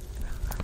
You're okay, you're okay,